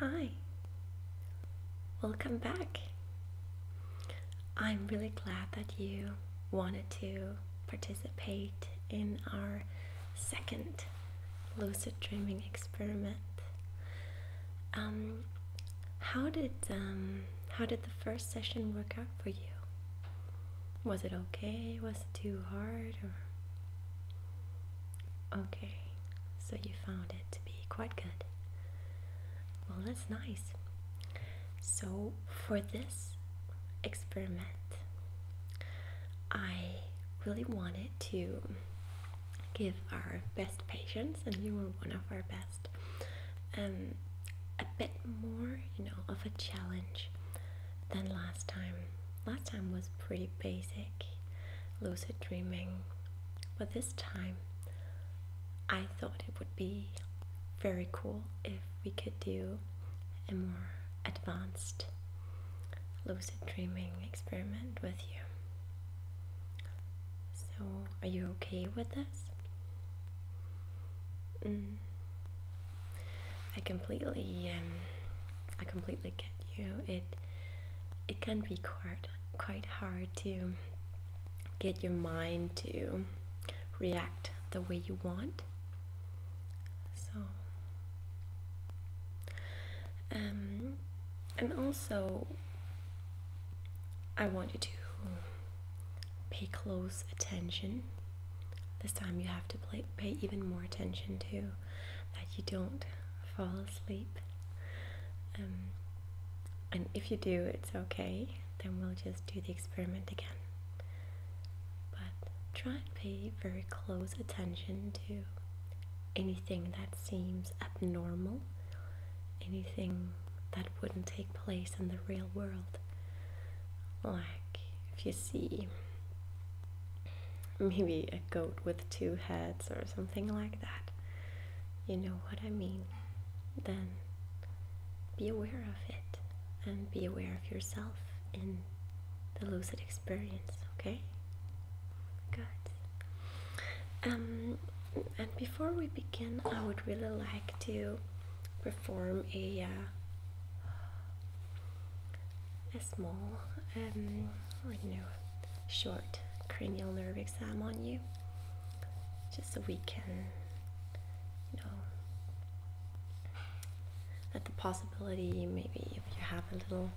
Hi, welcome back. I'm really glad that you wanted to participate in our second lucid dreaming experiment. Um, how did um, how did the first session work out for you? Was it okay? Was it too hard? Or okay, so you found it to be quite good. Well, that's nice. So, for this experiment, I really wanted to give our best patients, and you were one of our best, um, a bit more, you know, of a challenge than last time. Last time was pretty basic, lucid dreaming, but this time I thought it would be very cool if we could do a more advanced lucid dreaming experiment with you. So, are you okay with this? Mm. I completely, um, I completely get you. It, it can be quite, quite hard to get your mind to react the way you want. So, um, and also, I want you to pay close attention. This time you have to pay even more attention to that you don't fall asleep. Um, and if you do it's okay then we'll just do the experiment again but try and pay very close attention to anything that seems abnormal anything that wouldn't take place in the real world like if you see maybe a goat with two heads or something like that you know what I mean, then be aware of it and be aware of yourself in the lucid experience, okay? Good. Um, and before we begin, I would really like to perform a uh, a small, um, you know, short cranial nerve exam on you just so we can, you know, that the possibility maybe if you have a little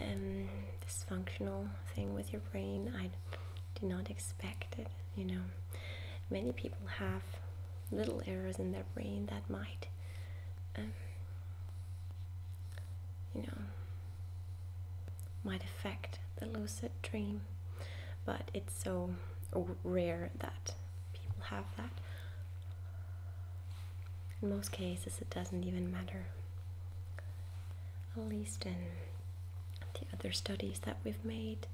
um, dysfunctional thing with your brain, I do not expect it, you know. Many people have little errors in their brain that might, um, you know, might affect the lucid dream, but it's so rare that people have that. In most cases, it doesn't even matter. At least in the other studies that we've made,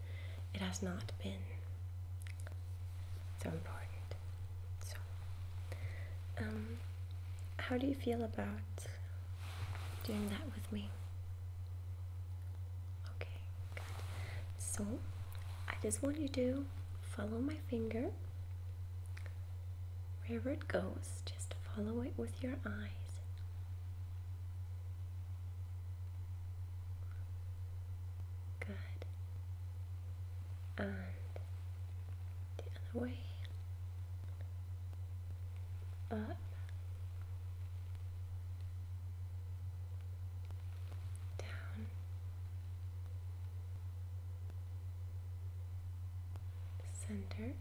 it has not been so important. So, um, how do you feel about doing that with me? Okay, good. So I just want you to follow my finger wherever it goes, just follow it with your eyes. Good. And the other way. Up down, center.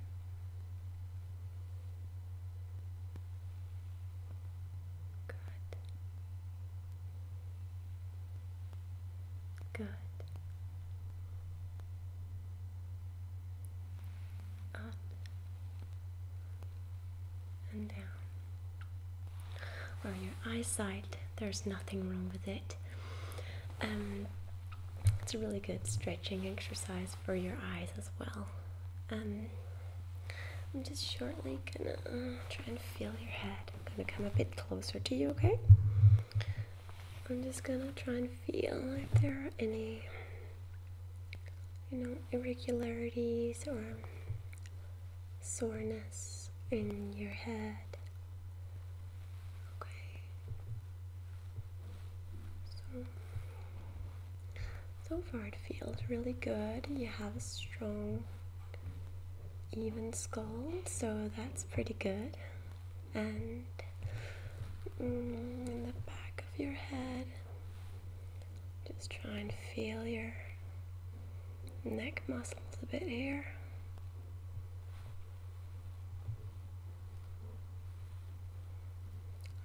Good. Good up and down. Or your eyesight, there's nothing wrong with it. Um, it's a really good stretching exercise for your eyes as well. Um, I'm just shortly gonna uh, try and feel your head. I'm gonna come a bit closer to you, okay? I'm just gonna try and feel if there are any you know, irregularities or soreness in your head. Okay. So, so far it feels really good. You have a strong, even skull, so that's pretty good. And mm, in the back of your head. Just try and feel your neck muscles a bit here.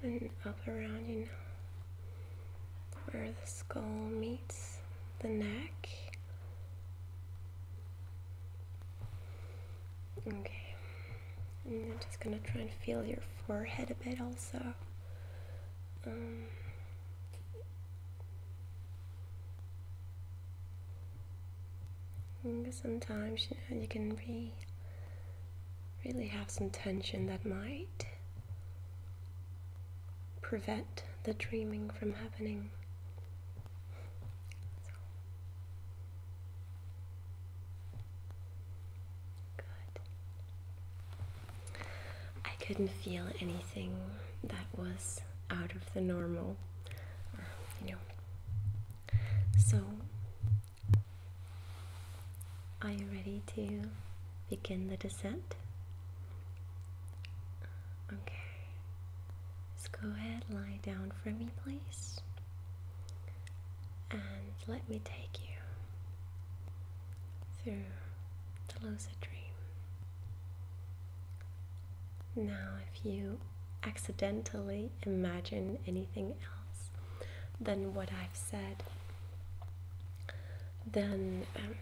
And up around you now, where the skull meets the neck. Okay. And I'm just gonna try and feel your forehead a bit also. Um, sometimes you, know, you can be really have some tension that might prevent the dreaming from happening. Good. I couldn't feel anything that was out of the normal, you know. So, are you ready to begin the descent? Okay. Just go ahead, lie down for me, please and let me take you through the lucid dream. Now, if you accidentally imagine anything else than what I've said, then um,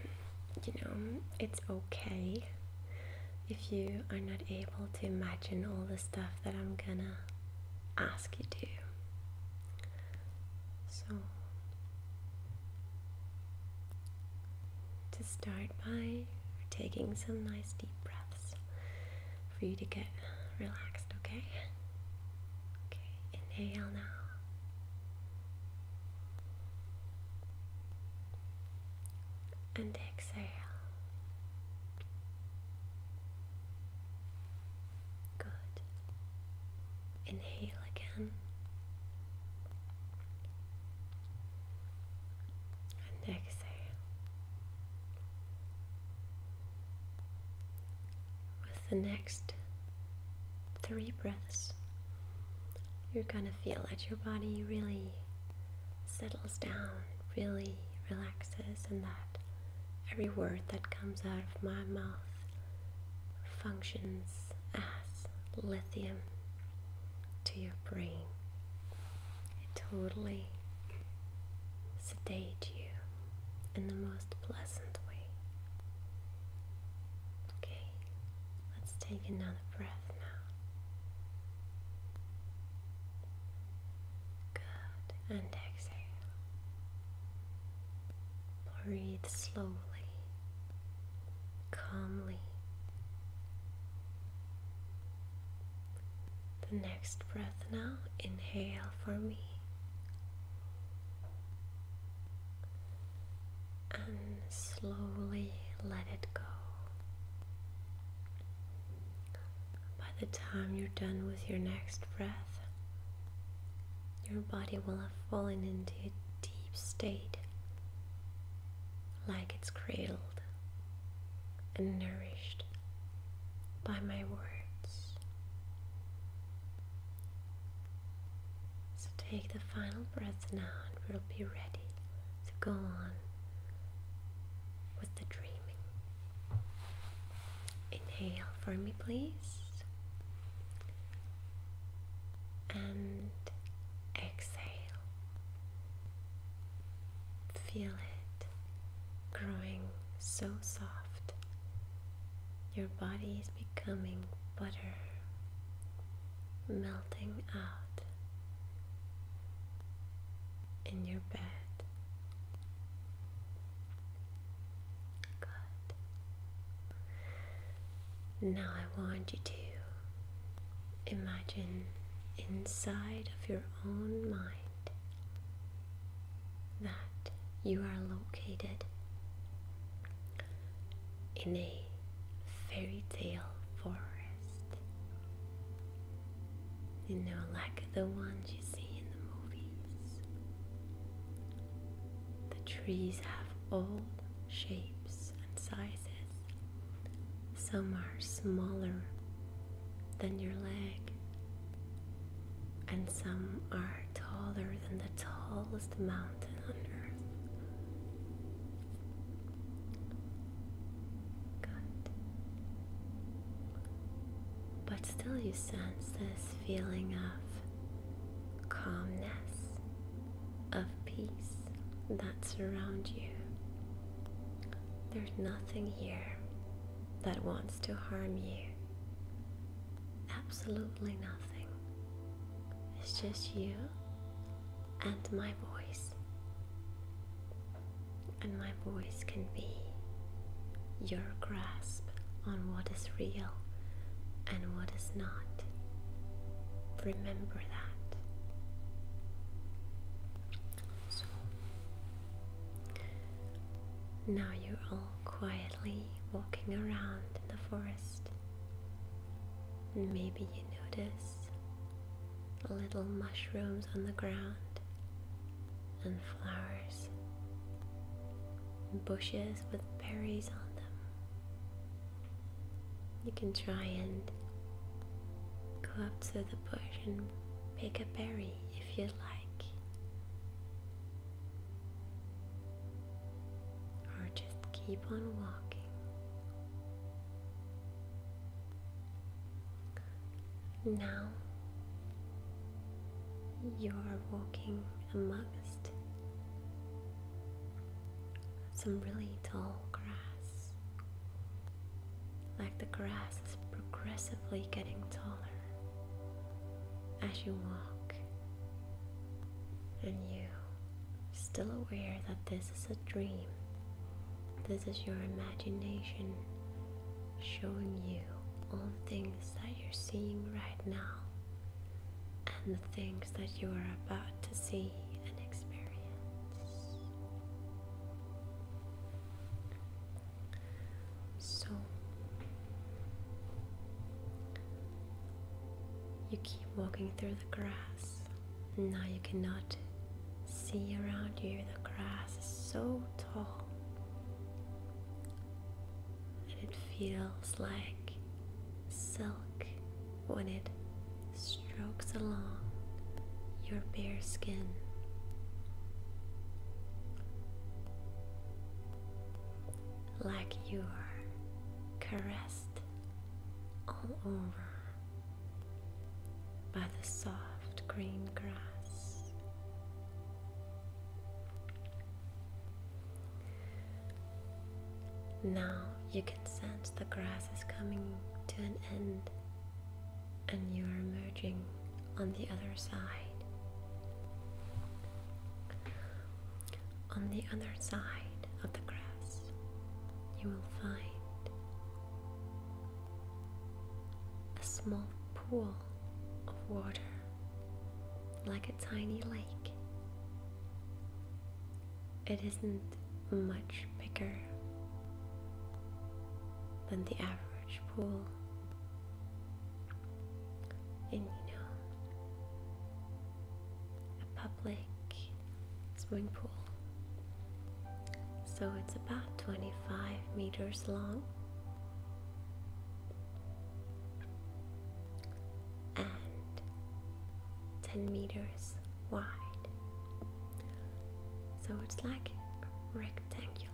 you know it's okay if you are not able to imagine all the stuff that I'm gonna ask you to. So, to start by taking some nice deep breaths for you to get relaxed, okay? Okay, inhale now. And exhale. Good. Inhale again. And exhale. With the next three breaths, you're gonna feel that your body really settles down, really relaxes, and that Every word that comes out of my mouth functions as lithium to your brain. It totally sedate you in the most pleasant way. Okay, let's take another breath now. Good. And exhale. Breathe slowly, calmly. The next breath now, inhale for me. And slowly let it go by the time you're done with your next breath, your body will have fallen into a deep state like it's cradled and nourished by my words. So take the final breath now and we'll be ready to go on with the dreaming. Inhale for me, please. And exhale. Feel it growing so soft. Your body is becoming butter, melting out in your bed. Good. Now I want you to imagine inside of your own mind that you are located in a fairy tale forest you know, like the ones you see in the movies. The trees have all shapes and sizes. Some are smaller than your leg, and some are taller than the tallest mountain on earth. Good. But still, you sense this feeling of calmness, of peace that surround you. There's nothing here that wants to harm you. Absolutely nothing. It's just you and my voice and my voice can be your grasp on what is real and what is not. Remember that. So now you're all quietly walking around in the forest. And maybe you notice little mushrooms on the ground and flowers, and bushes with berries on them. You can try and go up to the bush and pick a berry if you like, or just keep on walking. Now you are walking amongst some really tall grass. Like the grass is progressively getting taller as you walk, and you still aware that this is a dream. This is your imagination showing you all things that you're seeing right now and the things that you are about to see and experience. So you keep walking through the grass. Now you cannot see around you, the grass is so tall and it feels like silk when it strokes along your bare skin. Like you are caressed all over by the soft green grass. Now you can sense the grass is coming to an end and you are emerging on the other side. On the other side of the grass, you will find a small pool of water, like a tiny lake. It isn't much bigger than the average pool. And you know, a public swimming pool so it's about 25 meters long and 10 meters wide. So it's like rectangular.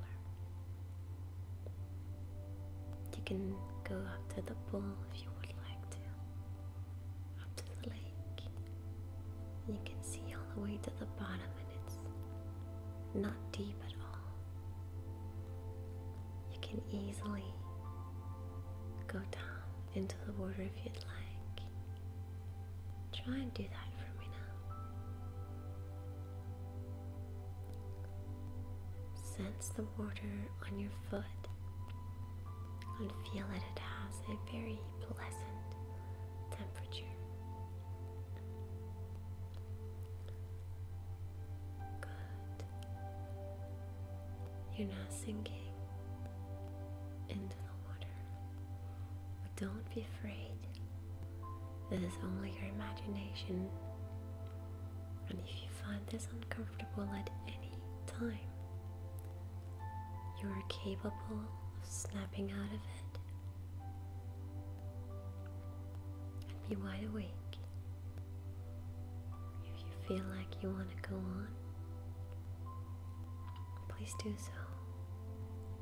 You can go up to the pool if you would like to, up to the lake. You can see all the way to the bottom it's not deep at all. You can easily go down into the water if you'd like. Try and do that for me now. Sense the water on your foot and feel that it has a very pleasant temperature. You're now sinking into the water. But don't be afraid. This is only your imagination. And if you find this uncomfortable at any time, you are capable of snapping out of it be wide awake. If you feel like you want to go on, please do so.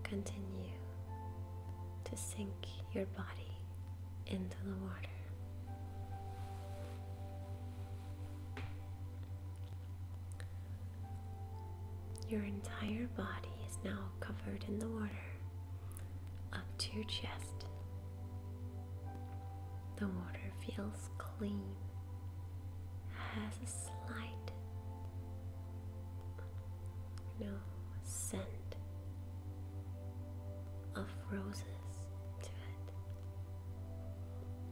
Continue to sink your body into the water. Your entire body is now covered in the water up to your chest. The water feels clean, has a slight you know, scent of roses to it,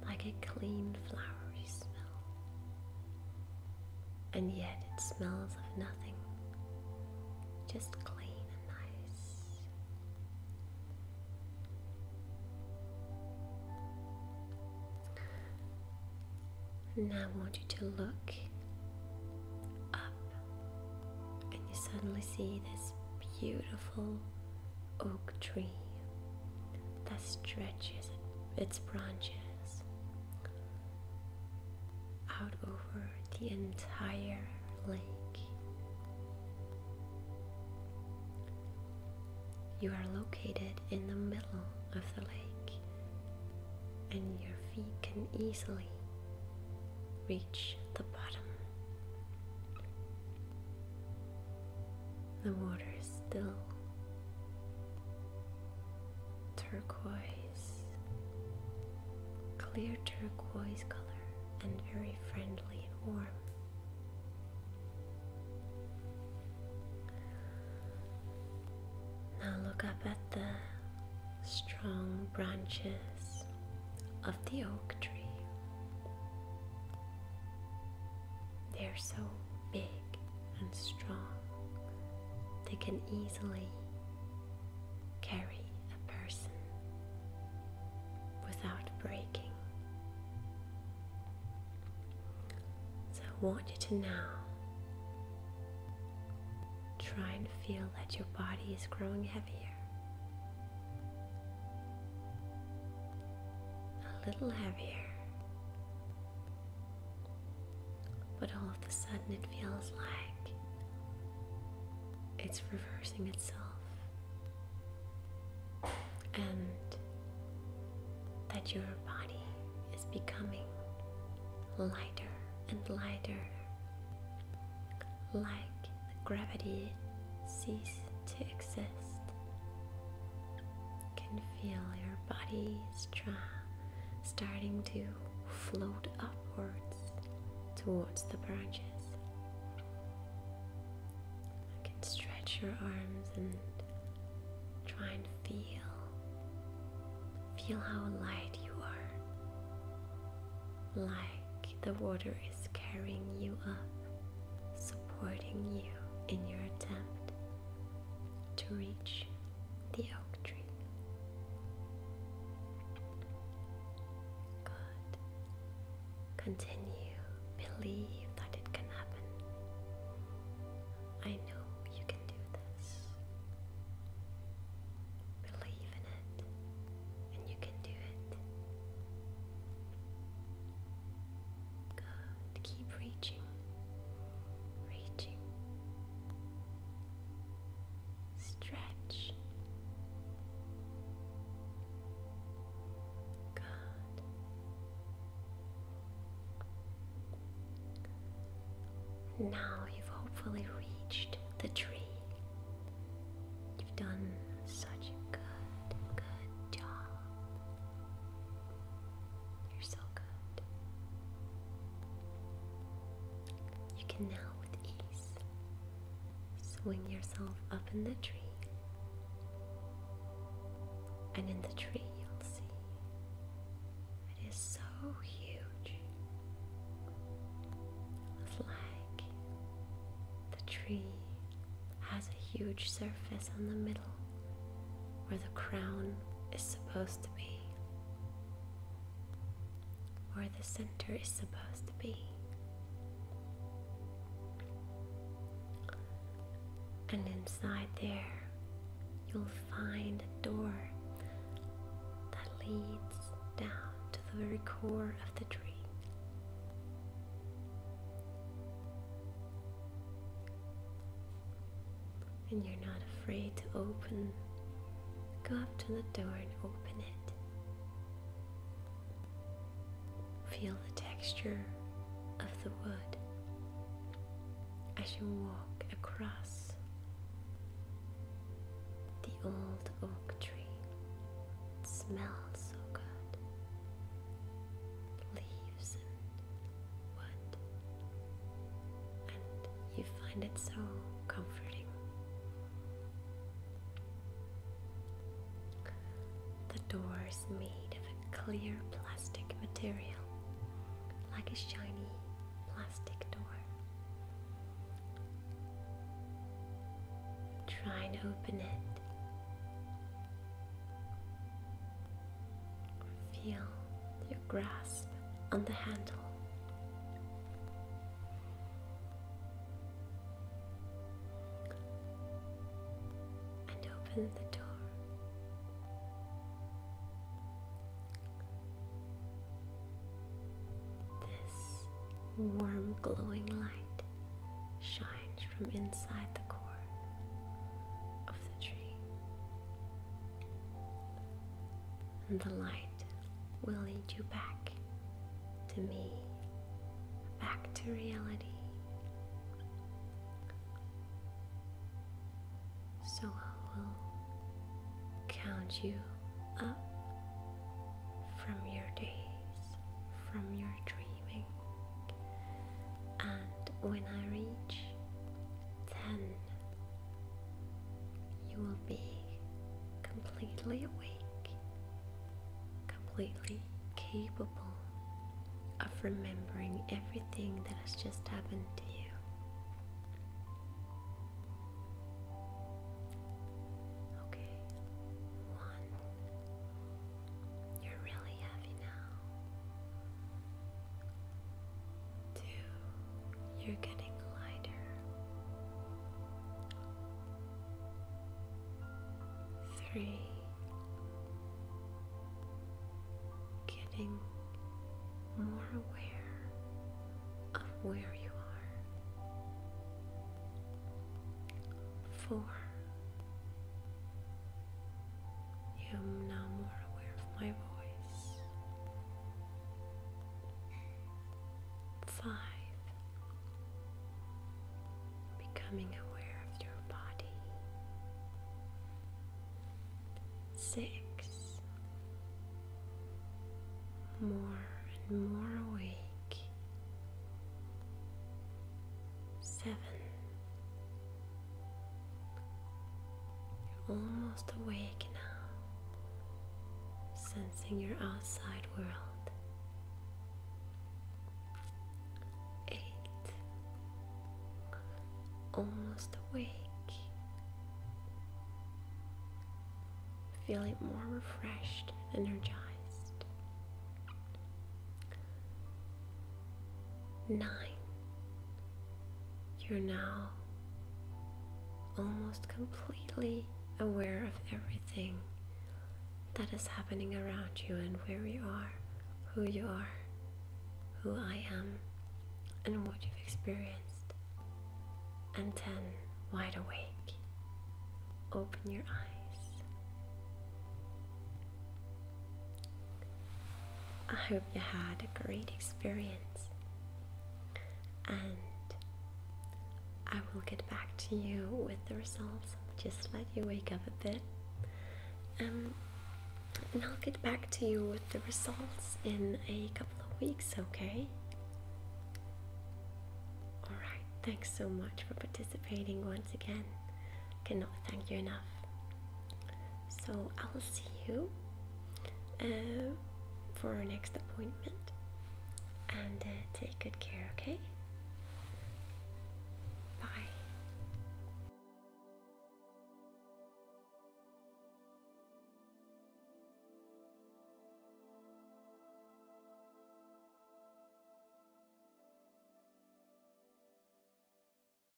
like a clean flowery smell and yet it smells of nothing, just clean and nice. Now I want you to look up, and you suddenly see this beautiful oak tree that stretches its branches out over the entire lake. You are located in the middle of the lake, and your feet can easily reach the bottom. The water is still turquoise, clear turquoise color, and very friendly and warm. Now look up at the strong branches of the oak tree. They're so big and strong, they can easily carry a person without breaking. So I want you to now try and feel that your body is growing heavier. A little heavier. But all of a sudden, it feels like it's reversing itself. And that your body is becoming lighter and lighter, like gravity ceases to exist. You can feel your body's strong starting to float upwards towards the branches. You can stretch your arms and try and feel feel how light you are. Like the water is carrying you up, supporting you in your attempt to reach the oak tree. Good. Continue. Believe that it can happen. I know you can do this. Believe in it, and you can do it. Good. Keep reaching reaching, stretch. Good. Now you've hopefully reached the tree. You've done such a good, good job. You're so good. You can now, with ease, swing yourself up in the tree. And in the tree, you'll see it is so huge. It's like the tree has a huge surface on the middle where the crown is supposed to be, where the center is supposed to be. And inside there, you'll find a door that leads down to the very core of the tree and you're not afraid to open, go up to the door and open it. Feel the texture of the wood as you walk across the old oak tree. It smells so good. Leaves and wood and you find it so comforting. The door is made of a clear plastic material, like a shiny plastic door. Try and open it. Feel your grasp on the handle. And open the door. This warm, glowing light shines from inside the core of the tree and the light will lead you back to me, back to reality. So I will count you up from your days, from your dreaming, and when I reach 10, you will be completely awake, completely capable of remembering everything that has just happened to you. Okay, one. You're really heavy now. Two, you're getting lighter. Three, getting more aware of where you are. Four, you're now more aware of my voice. Five, becoming aware of your body. Six, more and more awake. Seven, you're almost awake now, sensing your outside world. Eight, almost awake, feeling more refreshed energized. Nine. You're now almost completely aware of everything that is happening around you and where you are, who you are, who I am, and what you've experienced. And ten, wide awake, open your eyes. I hope you had a great experience, and I will get back to you with the results. Just let you wake up a bit, um, and I'll get back to you with the results in a couple of weeks, okay? Alright, thanks so much for participating once again. Cannot thank you enough. So I'll see you uh, for our next appointment and uh, take good care, okay? Bye.